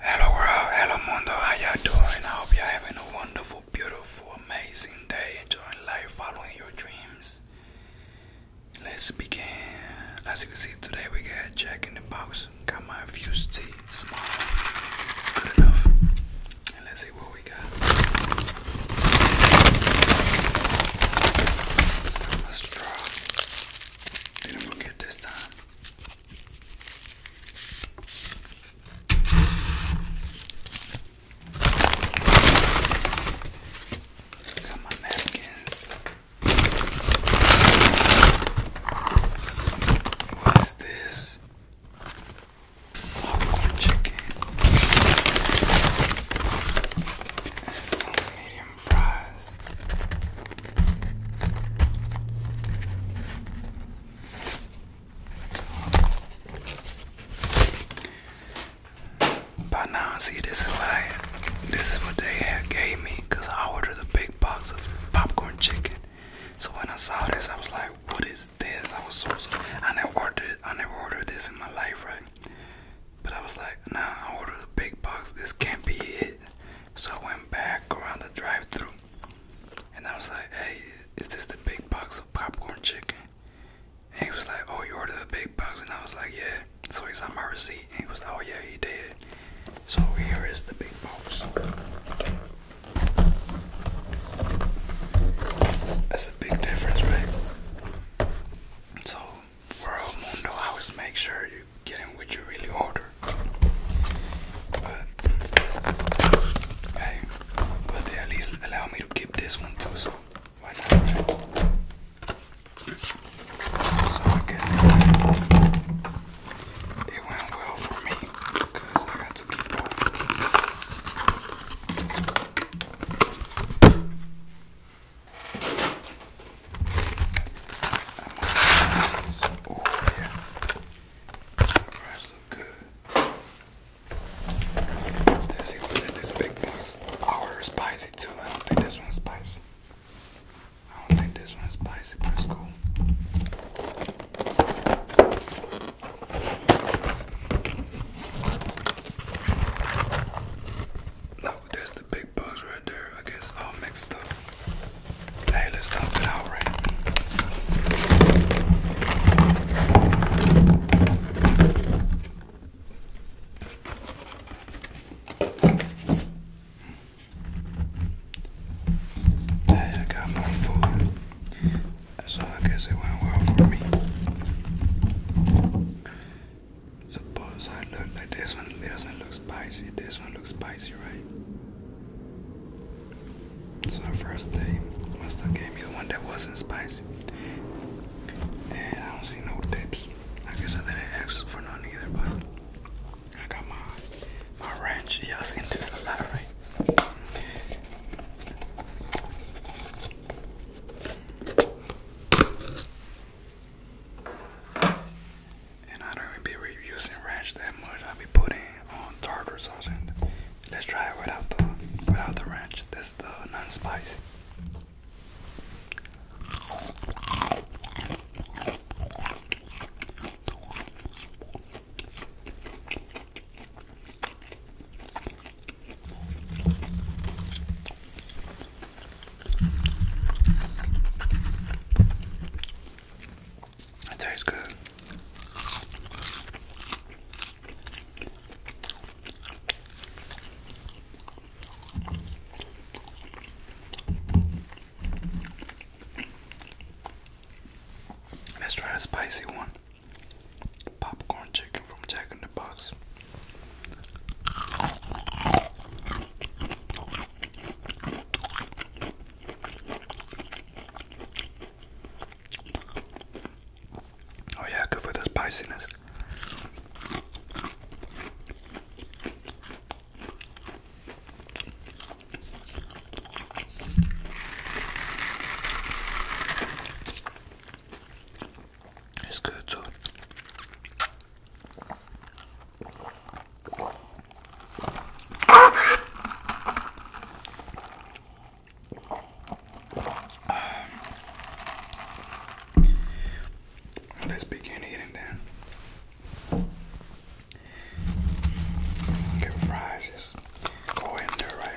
Hello world, hello mundo, how y'all doing? I hope y'all having a wonderful, beautiful, amazing day, enjoying life, following your dreams. Let's begin. As you can see today we got Jack in the Box. Got my infused tea, small, good enough. And let's see what we got. Let's draw. Didn't forget this time. Got my napkins. What's this? Popcorn chicken and some medium fries this. But now, see, this is what this is what they gave me, cause I ordered a big box of popcorn chicken. So when I saw this, I was like, "What is this?" I was so, I never ordered, I never ordered this in my life, right? But I was like, "Nah, I ordered a big box. This can't be it." So I went back around the drive through and I was like, hey, is this the big box of popcorn chicken? And he was like, oh, you ordered the big box? And I was like, yeah. So he saw my receipt and he was like, oh, yeah, he did. So here is the big box. That's a big difference, right? So, for El Mundo, I always make sure you you're getting what you really order. But hey, but they at least allow me to keep this one too, so why not? So I guess it went well for me because I got to keep both. Oh yeah, the price look good. Let's see in this big box. Ours spicy too. I don't think this one's spicy. I don't think this one's spicy, but it's cool. No, there's the big big right there. I guess all mixed up. Hey, let's talk it out Hey, I got more food. So I guess it went well for me. Suppose I look like this one doesn't look spicy, this one gonna look spicy, right? So, the first day, my stuff gave me the one that wasn't spicy. Yeah, I don't see no tips. I guess I didn't ask for none either, but I got my my ranch. Y'all seen this a lot, right? And I don't even be using ranch that much. I be putting on um, tartar sauce. And let's try it without the without the ranch. This is the non-spicy. That tastes good. Let's try a spicy one. Popcorn chicken from Jack in the Box. Oh yeah, good for the spiciness. It's good too. Let's begin eating then. Get fries, just go in there,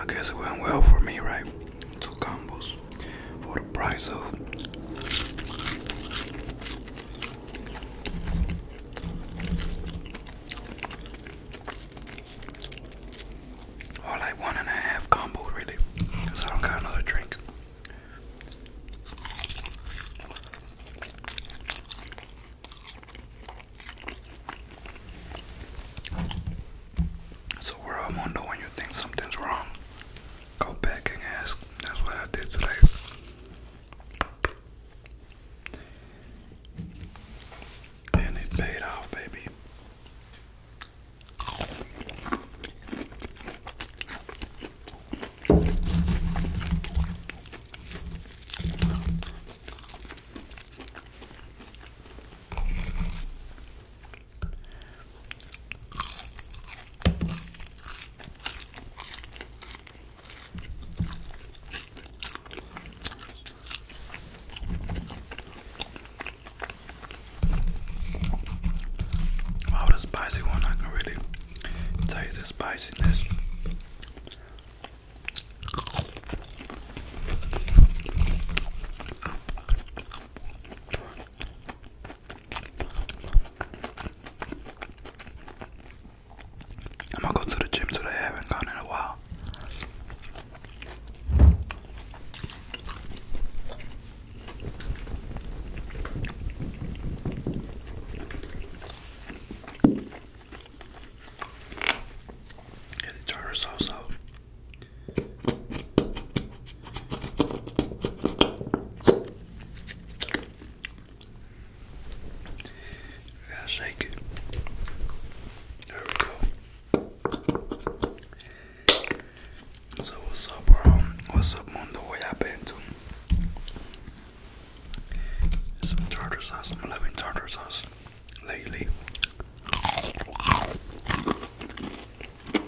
I guess it went well for me, right? Two combos for the price of or like one and a half combo really because I don't got another drink. So where I'm on when you think something's wrong. Go back and ask. That's what I did today. And it paid off, baby. Wow, the spicy one, I can really tell you the spiciness. I'm gonna go to the gym today, I haven't gone in a while. Yeah, the out. Yeah, shake it. There we go. So what's up, bro? What's up, Mundo? What you to? Some tartar sauce. I'm loving tartar sauce lately.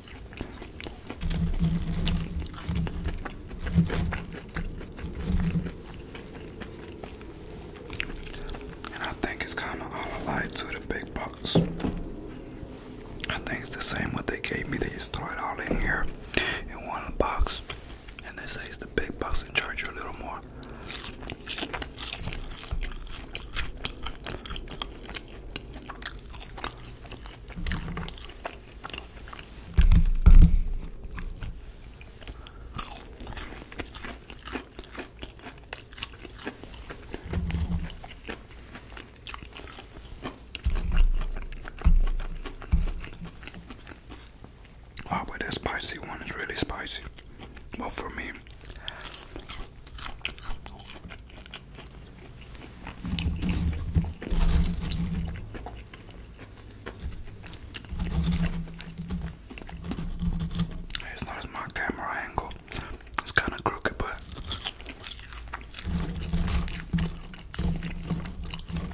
And I think it's kind of all alike to the big box. I think it's the same what they gave me. They just throw it all in here in one box. And they say it's the big box and charge you a little more. Oh, but that spicy one is really spicy. Well, for me, it's not as my camera angle. It's kind of crooked, but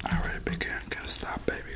I really began to stop, baby.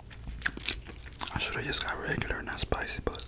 I should have just got regular, not spicy, but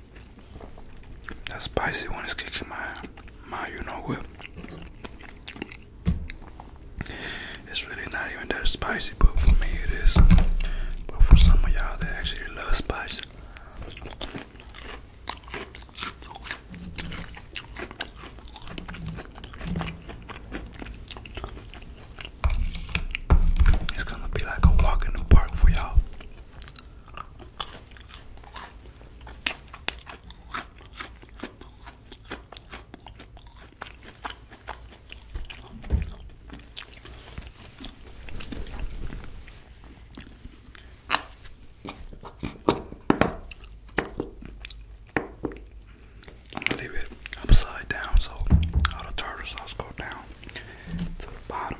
That spicy one is kicking my my you know what. It's really not even that spicy, but for me it is. But for some of y'all that actually love spicy. It's gonna be like a walk in the park for y'all. I'm leave it upside down so all the tartar sauce goes down to the bottom.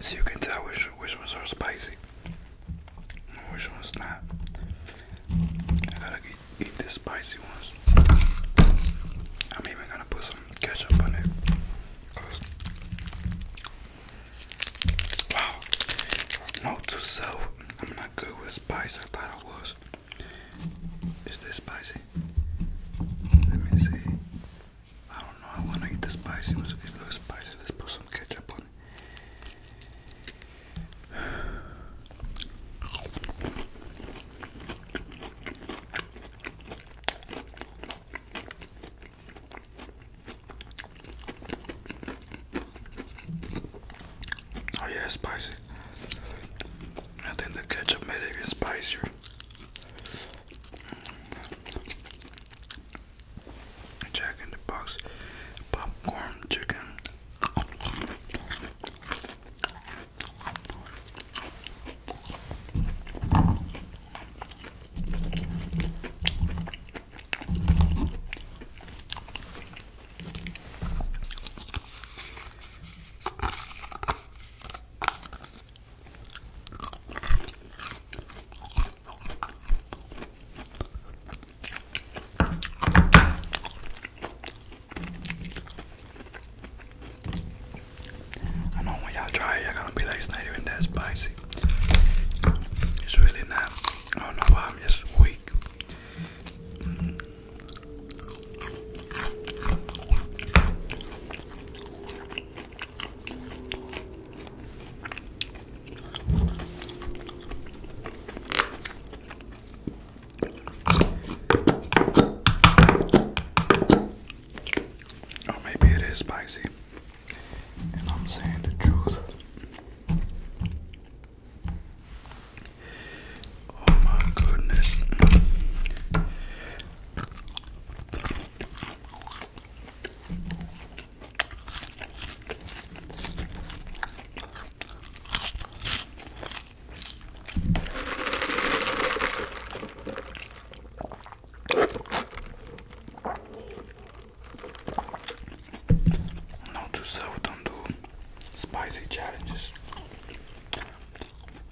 So you can tell which which ones are spicy and which ones not. I gotta eat, the spicy ones. I'm even gonna put some ketchup on it. Wow. Note to self, I'm not good with spice. I thought I was. Is this spicy? Let me see. I don't know. I want to eat the spicy. It looks spicy. Let's put some ketchup on it. Oh yeah, spicy. I think the ketchup made it even spicier. Jack in the Box popcorn chicken. I know when y'all try it, y'all gonna be like, it's not even that spicy. It's really not. I don't know why I'm just weak. Or maybe it is spicy, if I'm saying truth. Oh my goodness. Note to self, don't do spicy challenges.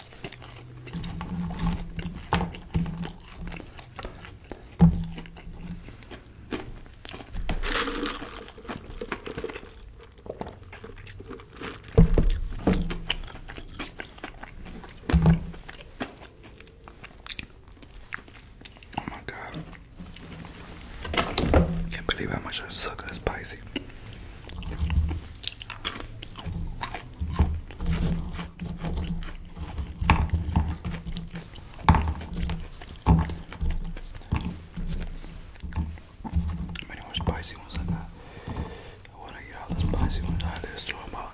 Oh my god. Can't believe how much I suck at spicy. Mira how spicy ones I got. I want to get all the spicy ones out of this, throw them out.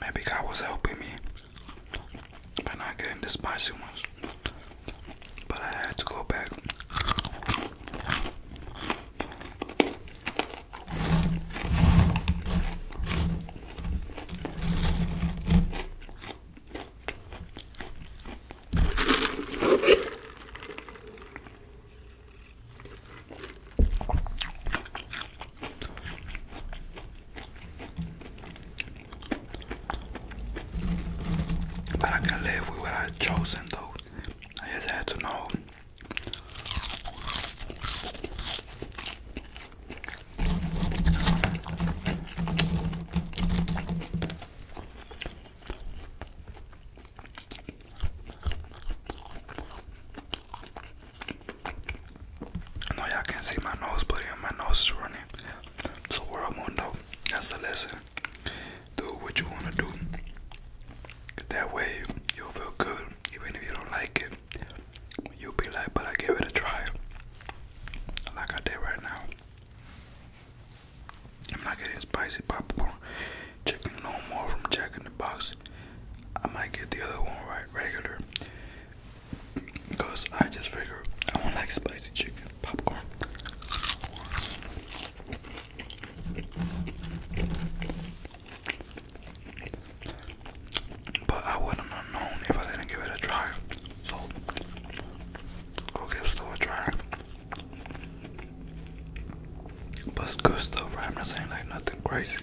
Maybe God was helping me by not getting the spicy ones. But I had to go back. But I can live with what I chosen though. I just had to know. I know y'all can't see my nose, but yeah, my nose is running. So world mundo, that's a lesson. Do what you wanna do. That way you'll feel good, even if you don't like it. You'll be like, but I gave it a try. Like I did right now. I'm not getting spicy popcorn chicken no more from Jack in the Box. I might get the other one right regular. Because I just figure I don't like spicy chicken popcorn. But I wouldn't have known if I didn't give it a try. So go give stuff a try. But it's good stuff, right? I'm not saying like nothing crazy.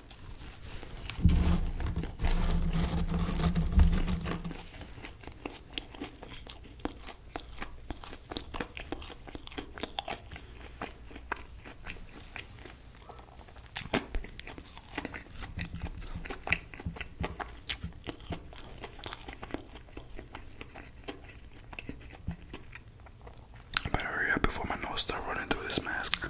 I better hurry up before my nose starts running through this mask.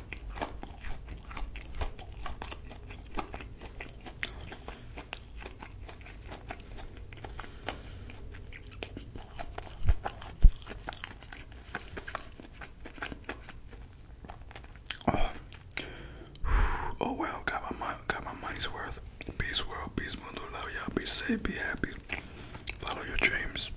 Oh, oh well, got my mind, got my money's worth. Peace world, peace mundo, love y'all. Be safe, be happy. Follow your dreams.